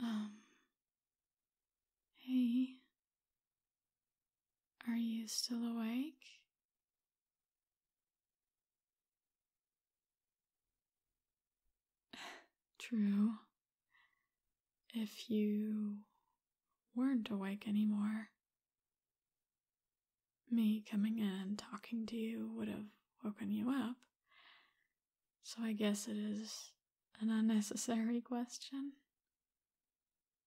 Um. Hey. Are you still awake? True. If you weren't awake anymore, me coming in and talking to you would have woken you up, so I guess it is an unnecessary question.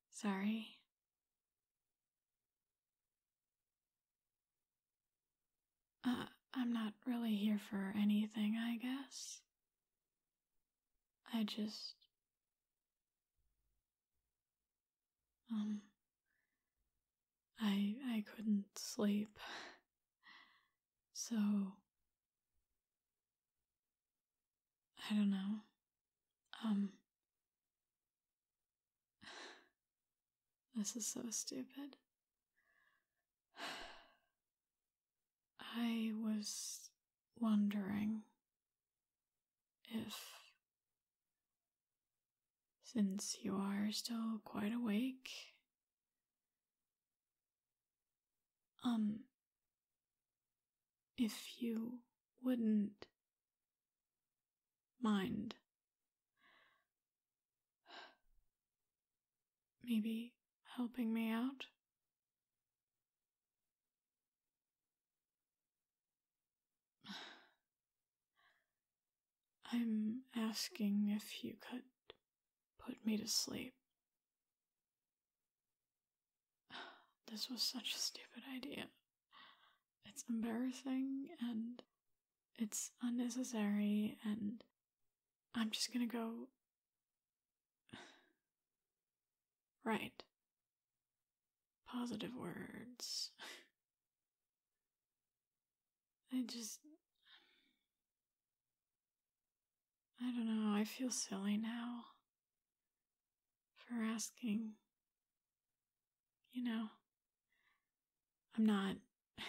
Sorry. Uh, I'm not really here for anything, I guess. I just. Um. I I couldn't sleep. So, I don't know. Um, this is so stupid. I was wondering if, since you are still quite awake um, if you wouldn't mind, maybe helping me out? I'm asking if you could put me to sleep. This was such a stupid idea. It's embarrassing and it's unnecessary, and I'm just gonna go. right. Positive words. I just. I don't know, I feel silly now for asking. You know, I'm not. I'm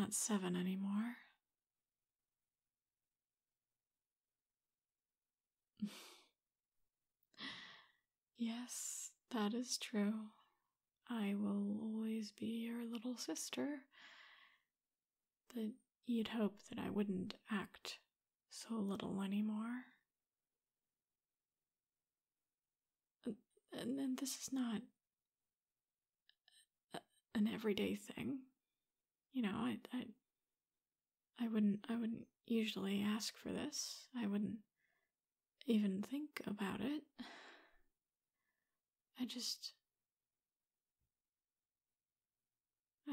not seven anymore. yes, that is true. I will always be your little sister. That you'd hope that I wouldn't act so little anymore. And then this is not an everyday thing. You know, I, I, I wouldn't, I wouldn't usually ask for this. I wouldn't even think about it. I just.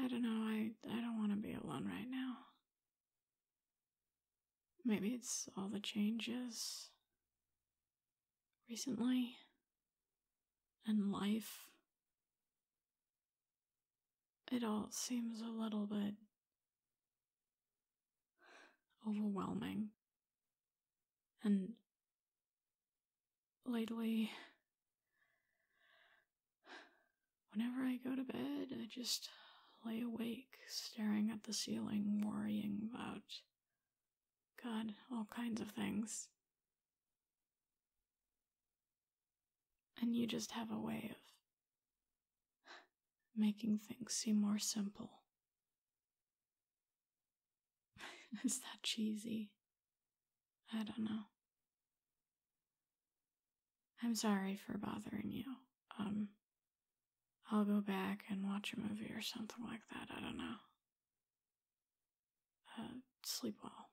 I don't know. I, I don't want to be alone right now. Maybe it's all the changes recently and life. It all seems a little bit overwhelming. And lately, whenever I go to bed, I just lay awake, staring at the ceiling, worrying about, God, all kinds of things. And you just have a way of making things seem more simple Is that cheesy? I don't know. I'm sorry for bothering you. Um, I'll go back and watch a movie or something like that. I don't know. Uh, sleep well.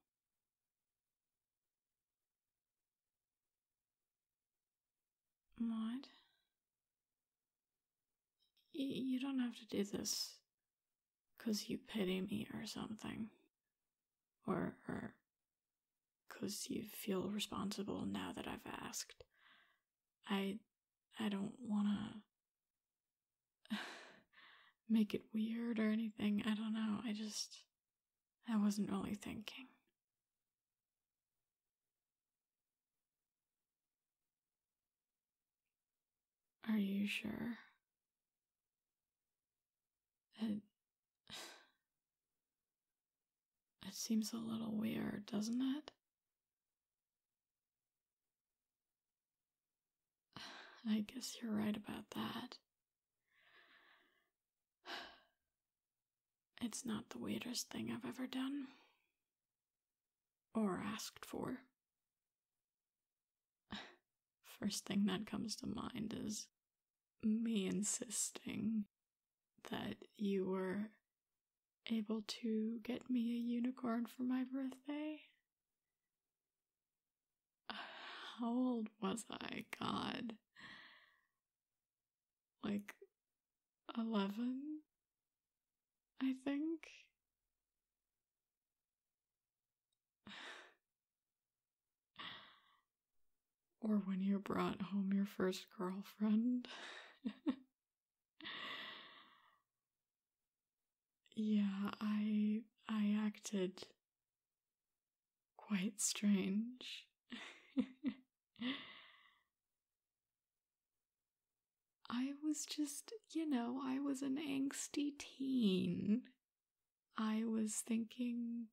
Maud? You don't have to do this because you pity me or something. Or, or because you feel responsible now that I've asked. I, I don't want to make it weird or anything. I don't know. I just, I wasn't really thinking. Are you sure? It, it seems a little weird, doesn't it? I guess you're right about that. It's not the weirdest thing I've ever done. Or asked for. First thing that comes to mind is me insisting that you were able to get me a unicorn for my birthday. How old was I? God like 11, I think. or when you brought home your first girlfriend. yeah, I I acted quite strange. I was just, you know, I was an angsty teen. I was thinking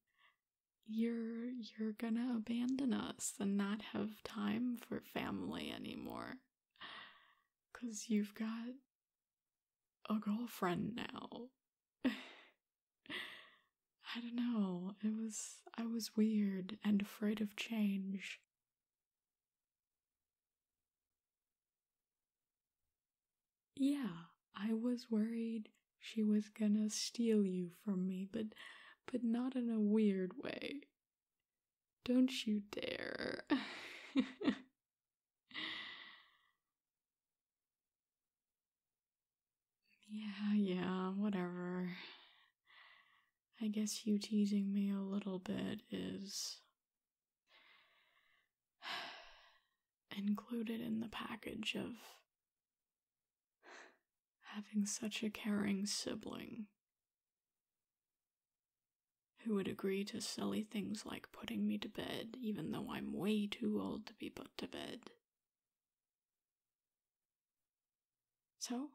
you're you're going to abandon us and not have time for family anymore cuz you've got a girlfriend now. I don't know, it was I was weird and afraid of change. Yeah, I was worried she was gonna steal you from me, but but not in a weird way. Don't you dare. Yeah, yeah, whatever. I guess you teasing me a little bit is included in the package of having such a caring sibling who would agree to silly things like putting me to bed even though I'm way too old to be put to bed. So?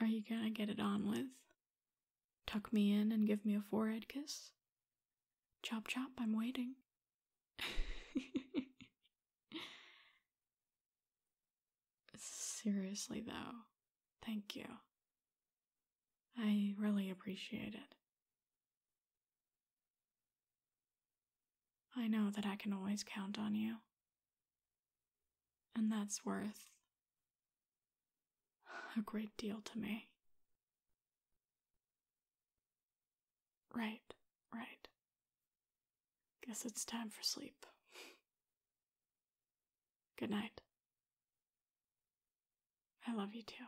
Are you gonna get it on with? Tuck me in and give me a forehead kiss? Chop chop, I'm waiting. Seriously, though, thank you. I really appreciate it. I know that I can always count on you. And that's worth a great deal to me. Right, right. Guess it's time for sleep. Good night. I love you too.